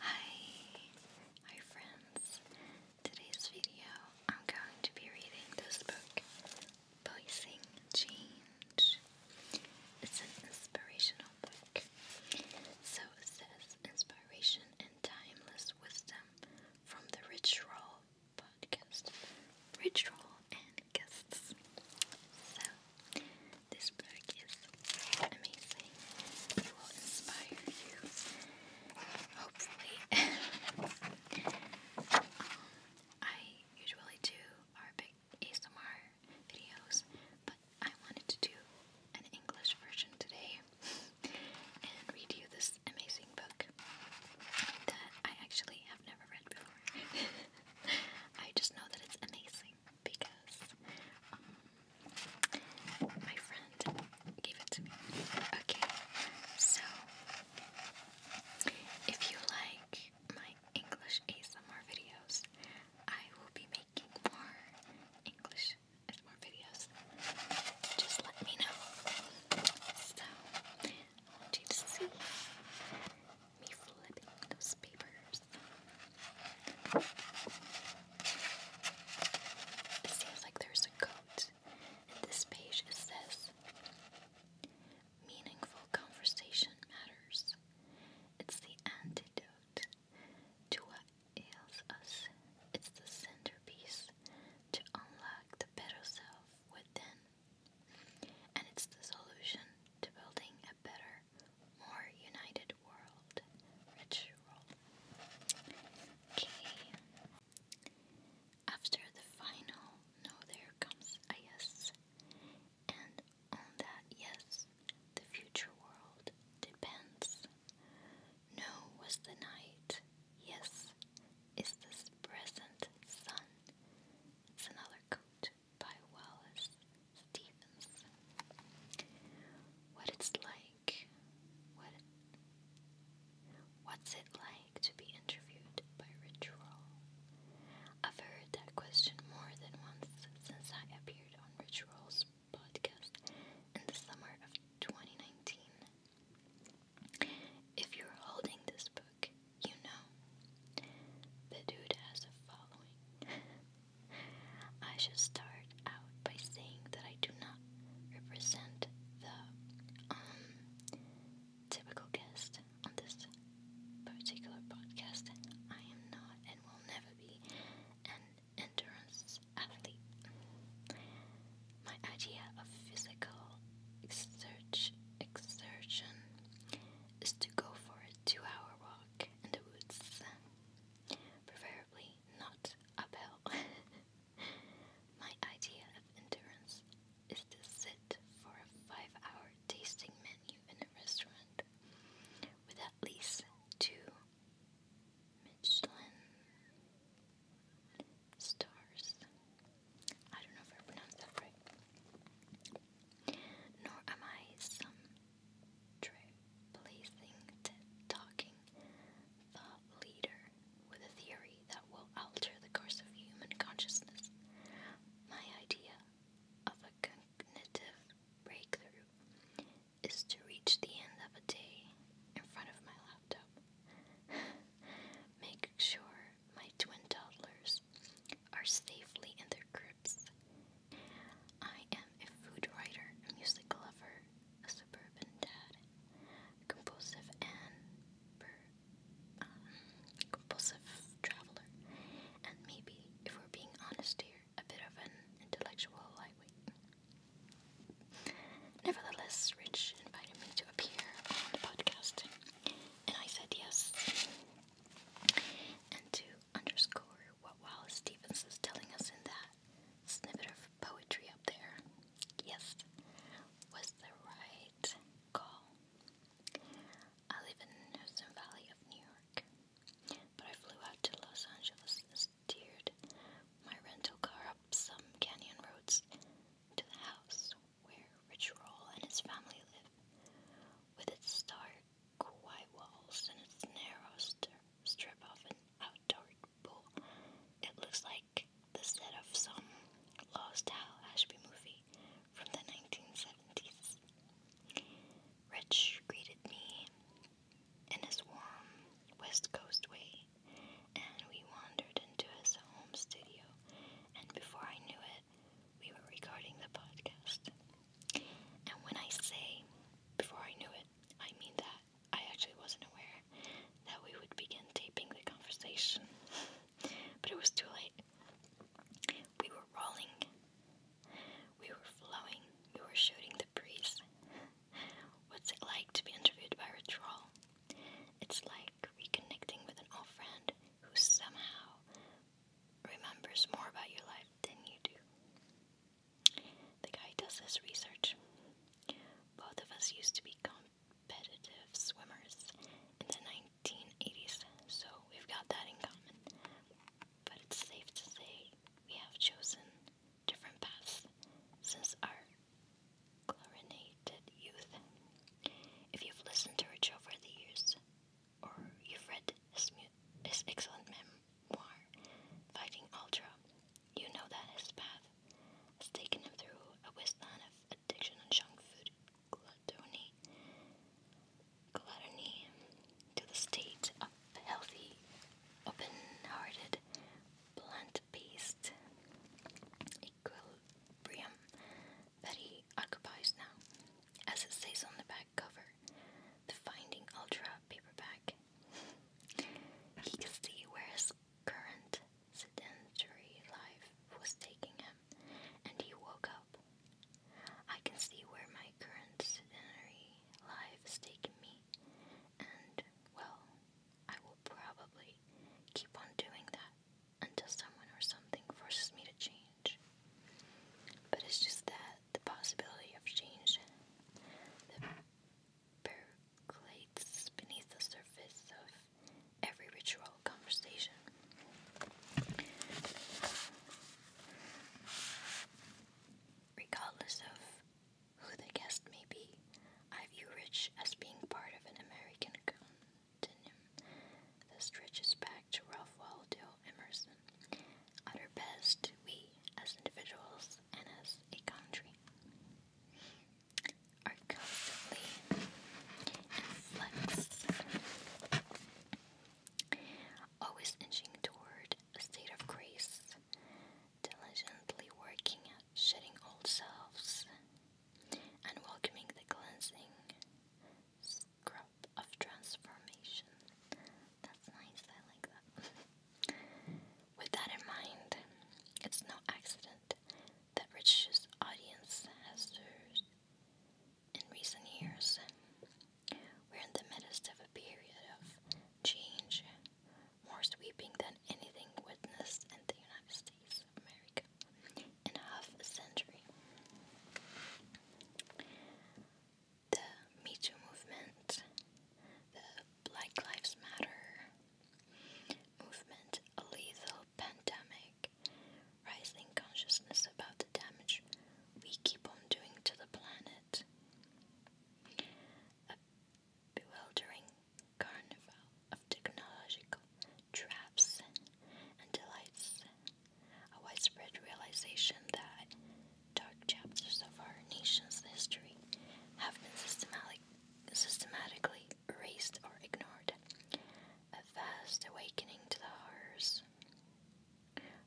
Hi, my friends. Today's video, I'm going to be reading this book, Voicing Change. It's an inspirational book. So it says, Inspiration and Timeless Wisdom from the Rich podcast. Rich and Guests. So, this book is amazing. It will inspire you, hopefully. Um, I usually do our ASMR videos, but I wanted to do an English version today and read you this amazing book that I actually have never read before. I just know that it's amazing because um, my friend gave it to me. Okay, so if you like my English ASMR videos, I will be making more English ASMR videos. Just let me know. So, want you to see me flipping those papers. It seems like there's a coat, this page says Meaningful conversation matters. It's the antidote to what ails us. It's the centerpiece to unlock the better self within. And it's the solution to building a better, more united world ritual. Okay. After the final no, there comes a yes. And on that yes, the future world depends. No was the night, yes is this present sun. It's another coat by Wallace. Stevens. What it's like, what, what's it like to be interviewed by Ritual? I've heard that question more than once since I appeared on Rich podcast in the summer of 2019. If you're holding this book, you know the dude has a following. I should start out by saying that I do not represent the um, typical guest on this particular podcast. I am not and will never be an endurance athlete. My idea of physical exertion is to go for a two hour walk in the woods preferably not uphill. My idea of endurance is to sit for a five hour tasting menu in a restaurant with at least two Michelin stars. I don't know if I pronounced that right. Nor am I some replacing Talking thought leader with a theory that will alter the course of human consciousness. My idea of a cognitive breakthrough is to reach the end of a day in front of my laptop. Make sure my twin toddlers are safely in their cribs I am a food writer, a music lover, a suburban dad, compulsive and um, compulsive traveler, and maybe, if we're being honest here, a bit of an intellectual lightweight. Nevertheless, Rich invited me to appear on the podcast, and I said yes. And to underscore what Wallace Stevens is telling us in that snippet of poetry up there, yes, was the right call. I live in the Hudson Valley of New York, but I flew out to Los Angeles steered my rental car up some canyon roads to the house where Rich Roll and his family live, with its star quai walls and its narrow strip of an outdoor pool. It looks like the set of some lost Hal Ashby movie from the 1970s. Rich greeted me in his warm West Coast way, and we wandered into his home studio. And before I knew it, we were recording the podcast. And when I say before I knew it, I mean that I actually wasn't aware that we would begin taping the conversation. but it was too late. We were rolling, we were flowing, we were shooting the breeze. What's it like to be interviewed by a It's like reconnecting with an old friend who somehow remembers more about your life than you do. The guy does his research. Both of us used to be competitive swimmers in the 1980s, so we've got that in common. But it's safe to say we have chosen different paths since our chlorinated youth. If you've listened to Rich over the years, or you've read his, his excellent memoir, Fighting Ultra, you know that his path has taken him through a wasteland of addiction and junk food gluttony, gluttony to the state of healthy, open-hearted, plant-based equilibrium that he occupies now. As it says on the back cover, the Finding Ultra paperback. he could see where his current sedentary life was taking him, and he woke up. I can see where my current sedentary life is taking me, and, well, I will probably keep on doing that until someone or something forces me to change. But it's just that the possibility of change that percolates beneath the surface of every ritual conversation. Regardless of who the guest may be, I view Rich as being part of an American continuum that stretches back to Ralph Waldo Emerson, at our best, we as individuals and as a country are constantly in always inching toward a state of grace, diligently working at shedding old selves and welcoming the cleansing. Scrub of transformation. That's nice, I like that. With that in mind, it's no accident that Rich's audience has surged in recent years. We're in the midst of a period of change, more sweeping than anything witnessed in the United States of America in half a century the Me Too movement, the Black Lives Matter movement, a lethal pandemic, rising consciousness about the damage we keep on doing to the planet, a bewildering carnival of technological traps and delights, a widespread realization that dark chapters of our nation's history have been systematic, systematically erased or ignored. A vast awakening to the horrors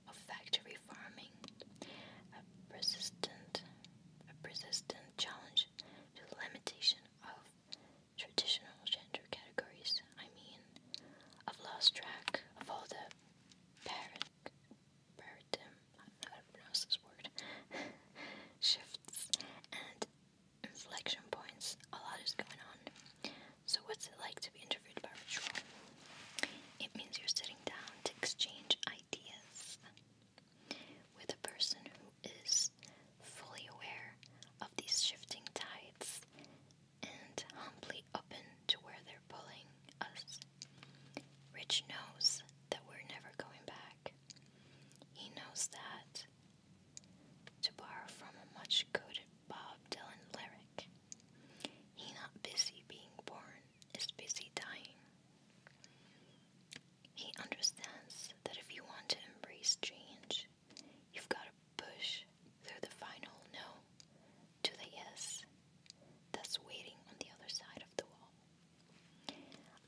of factory farming, a persistent, a persistent challenge to the limitation of traditional gender categories. I mean, I've lost track of all the parent Bertum, I don't know this word, shifts and inflection points. A lot is going on. So, what's it like to be interviewed by ritual? It means you're sitting down to exchange ideas with a person who is fully aware of these shifting tides and humbly open to where they're pulling us. Rich knows that we're never going back. He knows that, to borrow from a much quoted Bob Dylan lyric, he not busy being born is busy dying. He understands that if you want to embrace change, you've got to push through the final no to the yes that's waiting on the other side of the wall.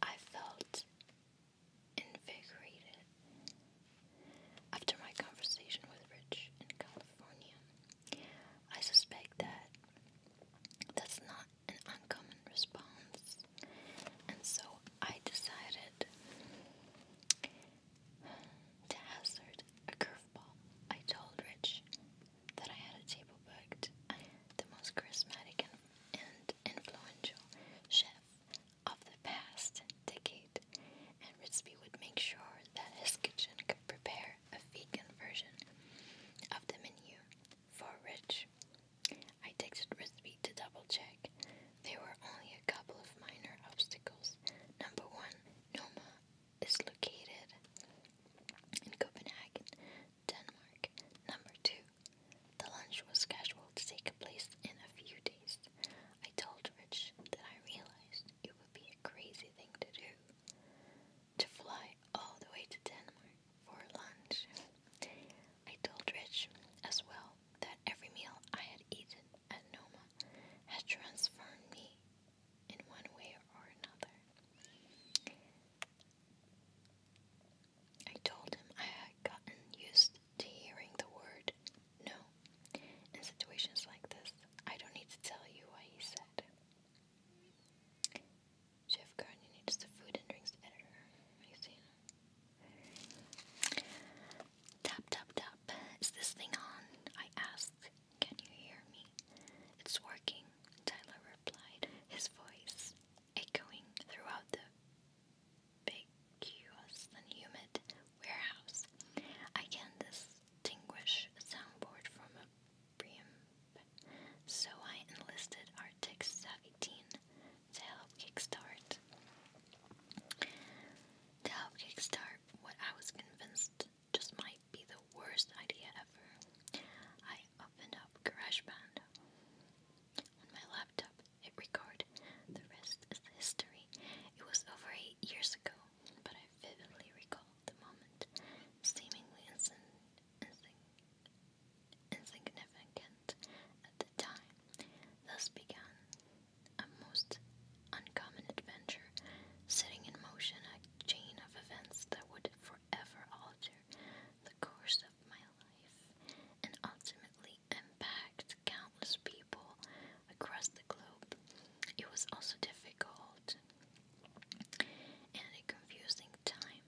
I felt invigorated after my conversation with Rich in California. I suspect that that's not an uncommon response, and so I decided to hazard a curveball. I told Rich that I had a table booked. I had the most charismatic and, influential chef of the past decade, and Ritzby would make sure that his kitchen could prepare a vegan version of the menu for Rich. I texted Ritzby to double check. There were only a couple of minor obstacles. Number one, Noma is located in Copenhagen, Denmark. Number two, the lunch was scheduled to take place in a few days. I told Rich that I realized it would be a crazy thing to do to fly all the way to Denmark for lunch. I told Rich as well that every meal I had eaten at Noma had transformed me in one way or another. I told him I had gotten used to hearing the word no in situations like this. I don't need to tell you why he said. Jeff Gardner needs the food and drinks editor. You see? Tap, tap, tap. Is this thing on? I asked. Can you hear me? It's working, Tyler replied, his voice echoing throughout the vacuous humid warehouse. I can distinguish a soundboard from a preamp, so I enlisted Artix 17 to help kickstart. To help kickstart what I was convinced just might be the worst idea ever. I opened up GarageBand on my laptop. It recorded. The rest is history. It was over eight years ago, but I vividly recall the moment, seemingly Insignificant at the time, thus began a most uncommon adventure, setting in motion a chain of events that would forever alter the course of my life and ultimately impact countless people across the globe. It was also difficult and a confusing time.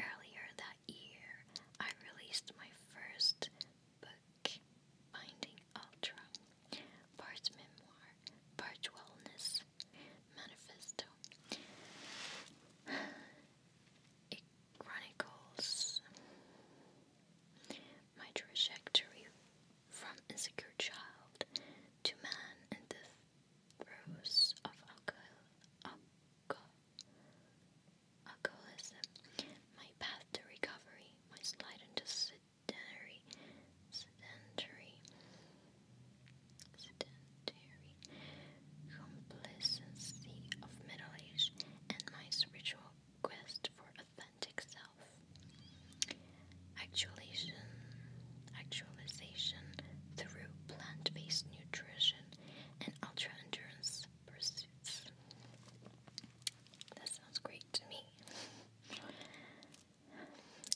Earlier that year, I released my first book, Finding Ultra, part memoir, part wellness, manifesto. It chronicles my trajectory from insecure child to man in the throes of alcohol, alcoholism, my path to recovery, my slide into sedentary, sedentary, sedentary complacency of middle age and my spiritual quest for authentic self. Actualization, actualization through plant-based nutrition and ultra-endurance pursuits. That sounds great to me.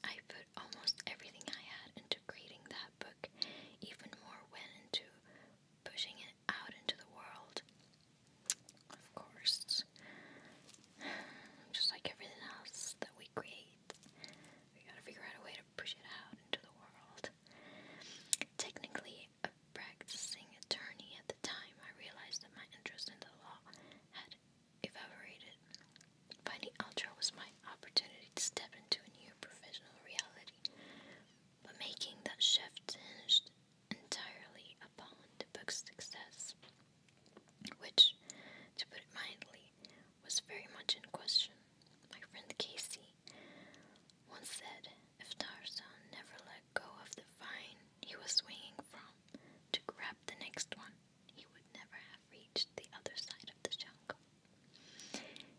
I put almost everything I had into creating that book, even more went into pushing it out into the world. Of course. Just like everything else that we create, we gotta figure out a way to push it out into the world. Technically, a practicing attorney at the time, I realized that my interest in the law had evaporated. Finding Ultra was my opportunity to step into a new professional reality, but making that shift hinged entirely upon the book's success, which, to put it mildly, was very much in question. My friend Casey once said if Tarzan never let go of the vine he was swinging from to grab the next one, he would never have reached the other side of the jungle.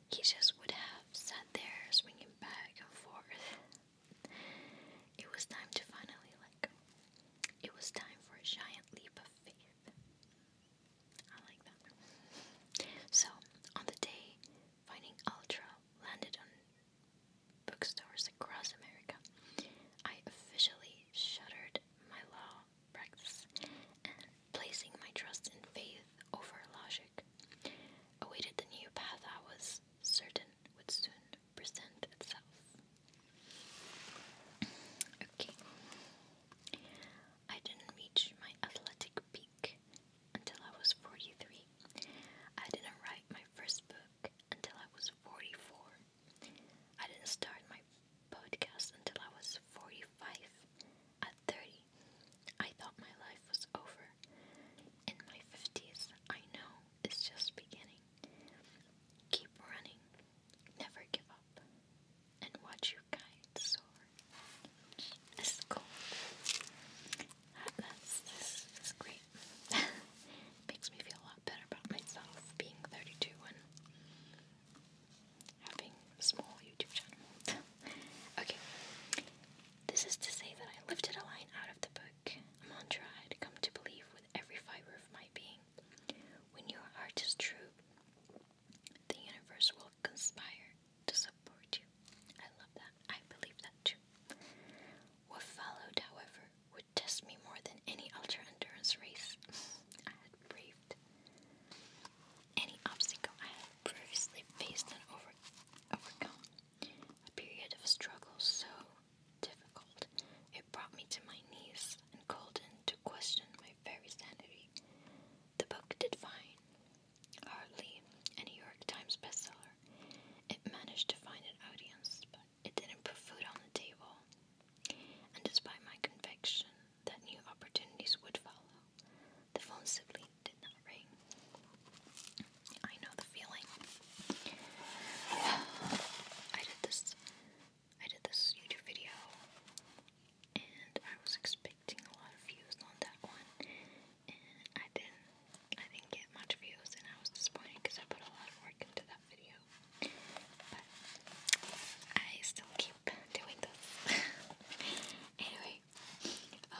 He just would have sat there swinging back and forth. It was time to finally like, It was time for a giant leap of faith. I like that. So, on the day Finding Ultra landed on bookstores across America, I officially shuttered my law practice, and placing my trust and faith over logic, awaited the new path I was certain would soon present itself. Okay. I didn't reach my athletic peak until I was 43. I didn't write my first book until I was 44. I didn't start my podcast until I was 45. At 30, I thought my life was over. In my 50s, I know it's just beginning. Keep running, never give up, and watch your kite soar. This is cool. this is great. makes me feel a lot better about myself being 32 and having a small YouTube channel. okay, this is to say that I lifted a line out of the book, a mantra I had come to believe with every fiber of my being. When your heart is true, the universe will conspire to support you. I love that. I believe that too. What followed, however, would test me more than any ultra endurance race I had braved. Any obstacle I had previously faced and overcome. A period of struggle so difficult it brought me to my knees and called into question my very sanity. The book did fine. Hardly a New York Times bestseller. It managed to find an audience, but it didn't put food on the table. And despite my conviction that new opportunities would follow, the phone simply did not ring. I know the feeling. I did this I did this YouTube video and I was expecting a lot of views on that one and I didn't I didn't get much views and I was disappointed because I put a lot of work into that video. But I still keep doing this. anyway, um,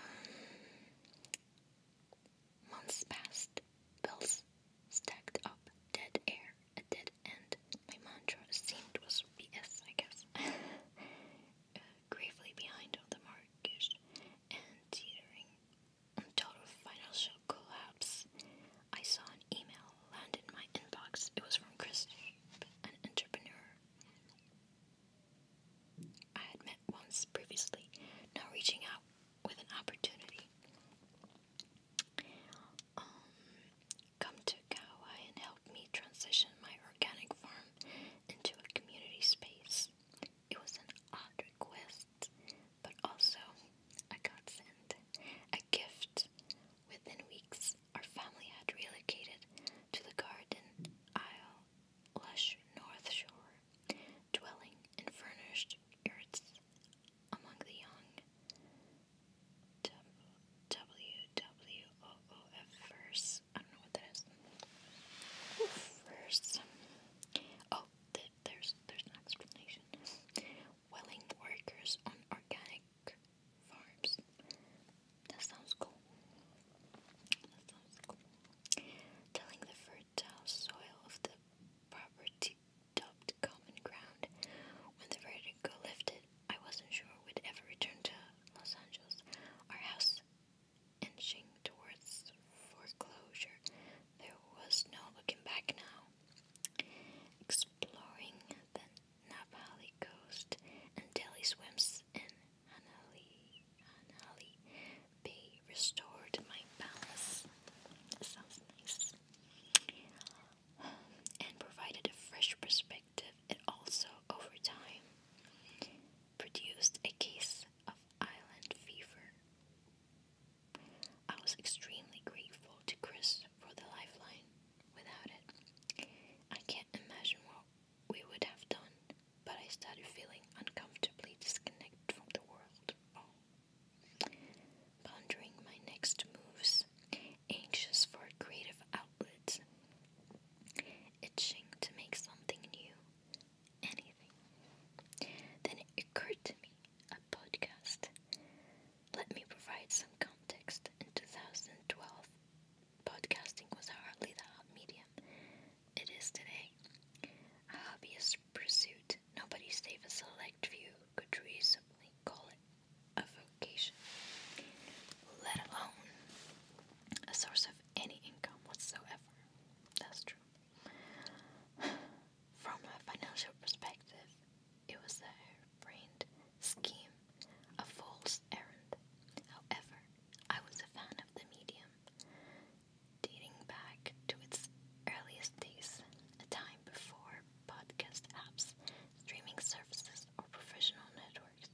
Months passed, bills stacked up, dead air, a dead end. My mantra seemed was BS, I guess. Uh, gravely behind on the mark and teetering on total financial collapse. I saw an email land in my inbox. It was from Chris, an entrepreneur I had met once previously, now reaching out with an opportunity. Um, come to Kauai and help me transition my organic farm into a community space. It was an odd request, but also a godsend. A gift. Within weeks, our family had relocated to the Garden Isle, lush North Shore, dwelling in furnished yurts among the young. W W O O F verse. I don't know what that is. First, oh, there's there's an explanation. Welling workers on organic farms. That sounds cool. That sounds cool. Telling the fertile soil of the property dubbed common ground. When the vertigo lifted, I wasn't sure we'd ever return to Los Angeles. Our house inching towards foreclosure. There was no looking back now. Exploring the Napali coast until he swims in Hanali, Hanali Bay restored my balance. Sounds nice. And provided a fresh perspective. It also, over time, produced a case of Island fever. I was extremely grateful to Chris for the lifeline. Without it, I can't imagine what we would have done, but I started feeling uncomfortably disconnected from the world. Pondering my next moves, anxious for creative outlet, itching to make something new, anything. Then it occurred to me a podcast. Let me provide some context. In 2012, podcasting was hardly the hot medium it is today. A hobbyist pursuit nobody save a select few could reasonably call it a vocation, let alone a source of any income whatsoever. That's true. From a financial perspective, it was a harebrained scheme, a false errand. However, I was a fan of the medium, dating back to its earliest days, a time before podcast apps, streaming services, or professional networks,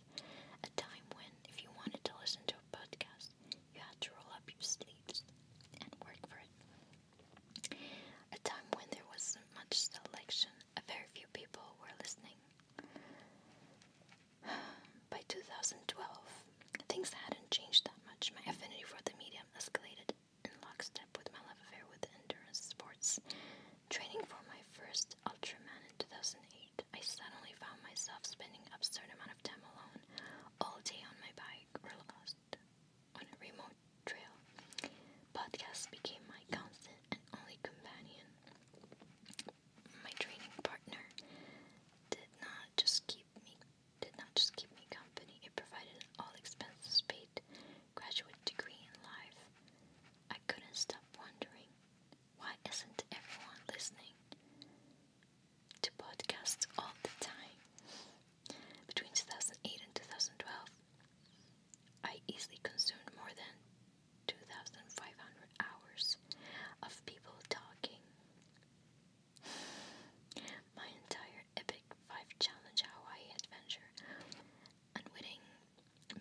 a time when if you wanted to listen to a podcast, you had to roll up your sleeves and work for it. A time when there wasn't much selection, a very few people were listening. By 2012, things hadn't changed that much. My affinity for the medium escalated in lockstep with my love affair with endurance sports. Training for my first Ultraman in 2008 I suddenly found myself spending absurd amount of time alone, all day on my bike or lost on a remote trail. Podcasts became my constant and only companion. My training partner did not just keep me did not just keep me company, it provided all expenses paid graduate degree in life. I couldn't stop wondering why isn't everyone listening to podcasts all the time? Between 2008 and 2012, I easily consumed more than 2,500 hours of people talking. My entire epic 5 challenge Hawaii adventure, unwitting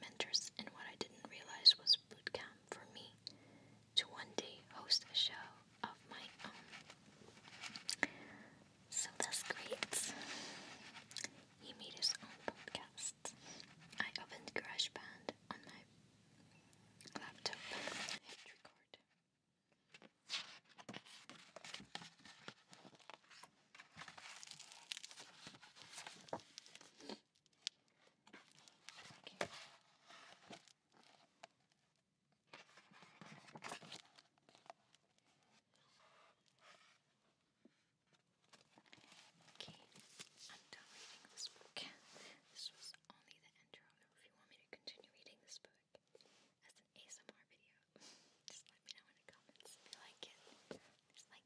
mentors in what I didn't realize was boot camp for me to one day host a show of my own. So that's great. He made his own podcast. I opened GarageBand on my laptop. I hit record. Okay, I'm done reading this book. This was only the intro. If you want me to continue reading this book as an ASMR video, just let me know in the comments if you like it. Just like,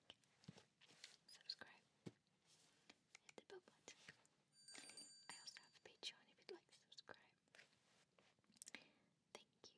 subscribe, hit the bell button. I also have a Patreon if you'd like to subscribe. Thank you.